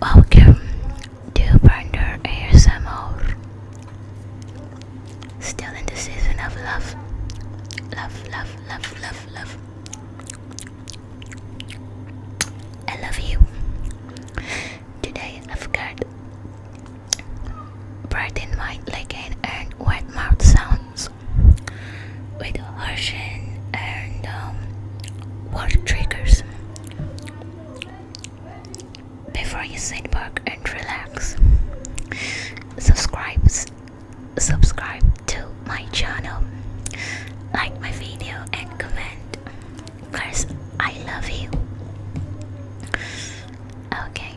Welcome to Brandon ASMR. Still in the season of love. Love, love, love, love, love. I love you. Today I've got bright in mind like an and wet mouth sounds with ocean and um, water triggers before you sit back and relax subscribe subscribe to my channel like my video and comment because I love you okay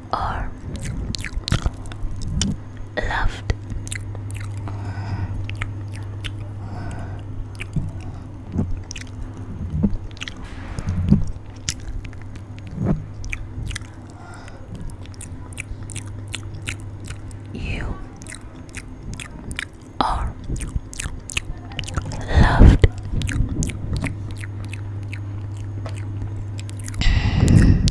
or loved. You are loved.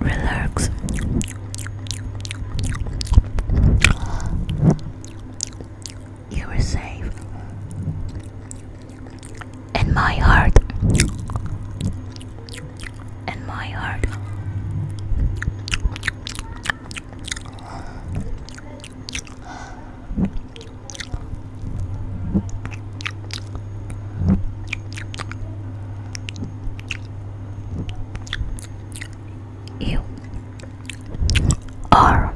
relax. You were safe in my heart. In my heart. You are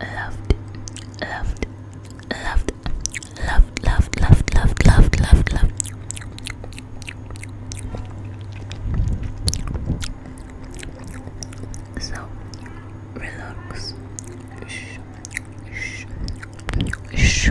loved, loved, loved, loved, loved, loved, loved, loved, loved, loved. So relax. Shh. Shh.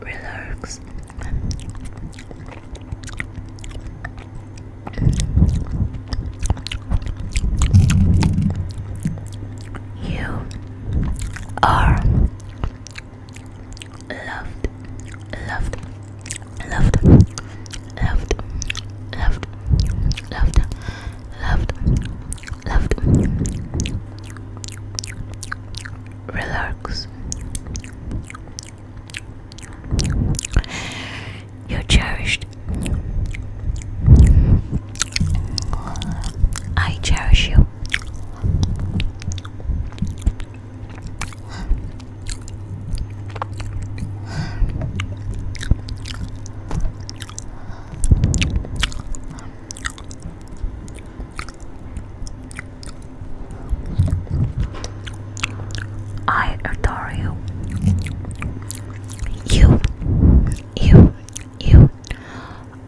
relax. You are loved, loved, loved, loved, loved, loved, loved, loved. Relax. You're cherished. I cherish you. I adore you. You, you, you,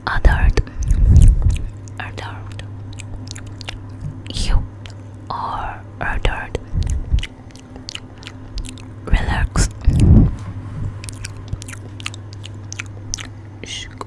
adored, adored. You are adored. Relax. Shuk,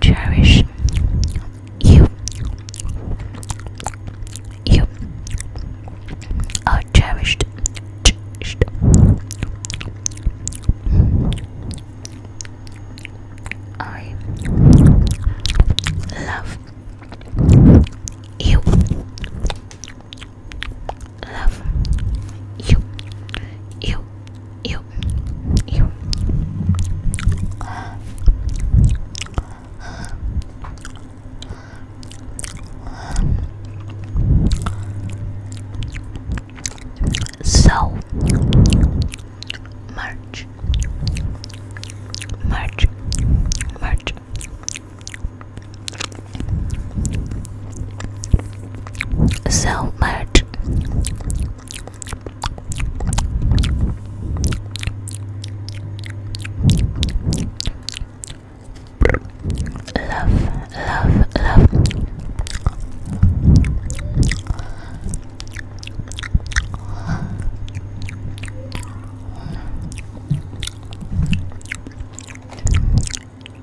Cherish you. You cherished. cherished. I love you. Love you. You. You. You. So much, merch, merch. So merch. Love, love, love.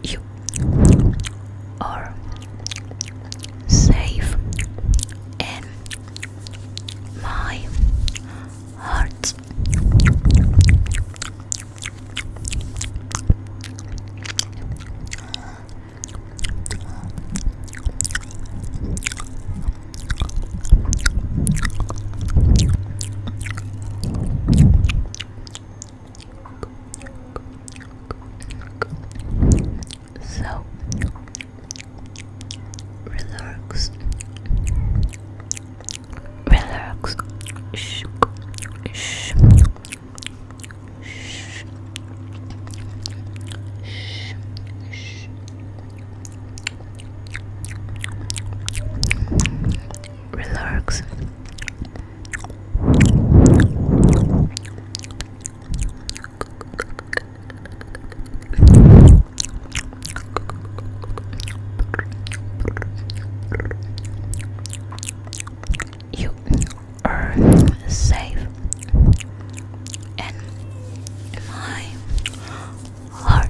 You are safe in my heart. So relax, relax, shh, shh, Shh. Shh. Shh. Relax you are safe and my heart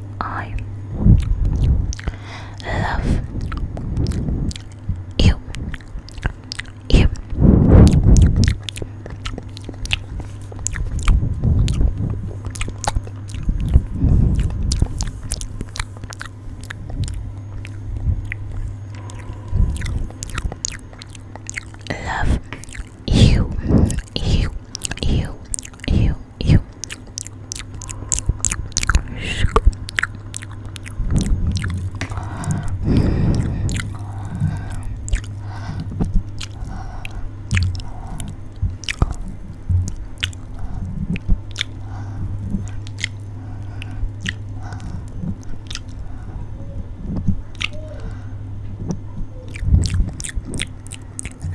I love you. You. Love you, you, you, you, you.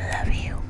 Love you.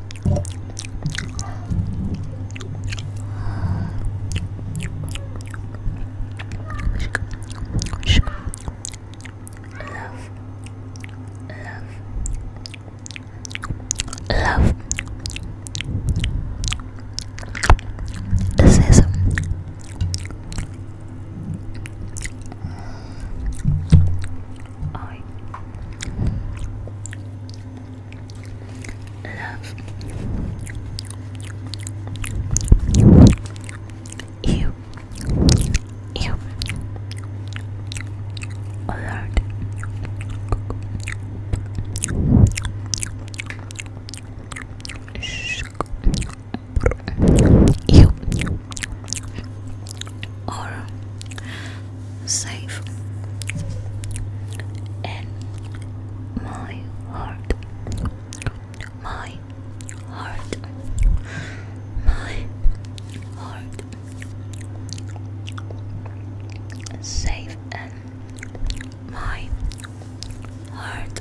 Love, love, love. This is I um, love you, you, alert. You or safe and my heart my heart my heart safe and my heart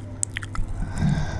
Love, love, love,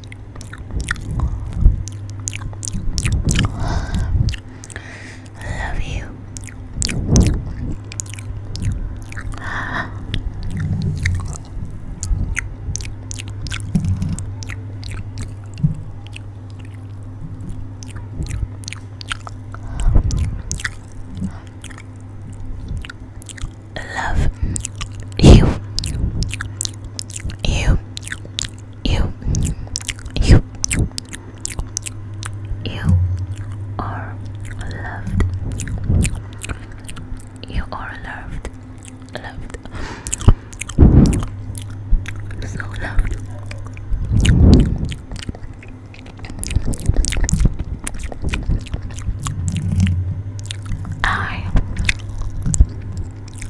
love you. Love you, you, you, you, you are loved. You are loved, loved, so loved. I love you.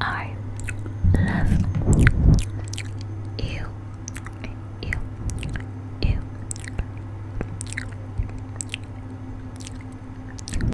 I love you. You, you.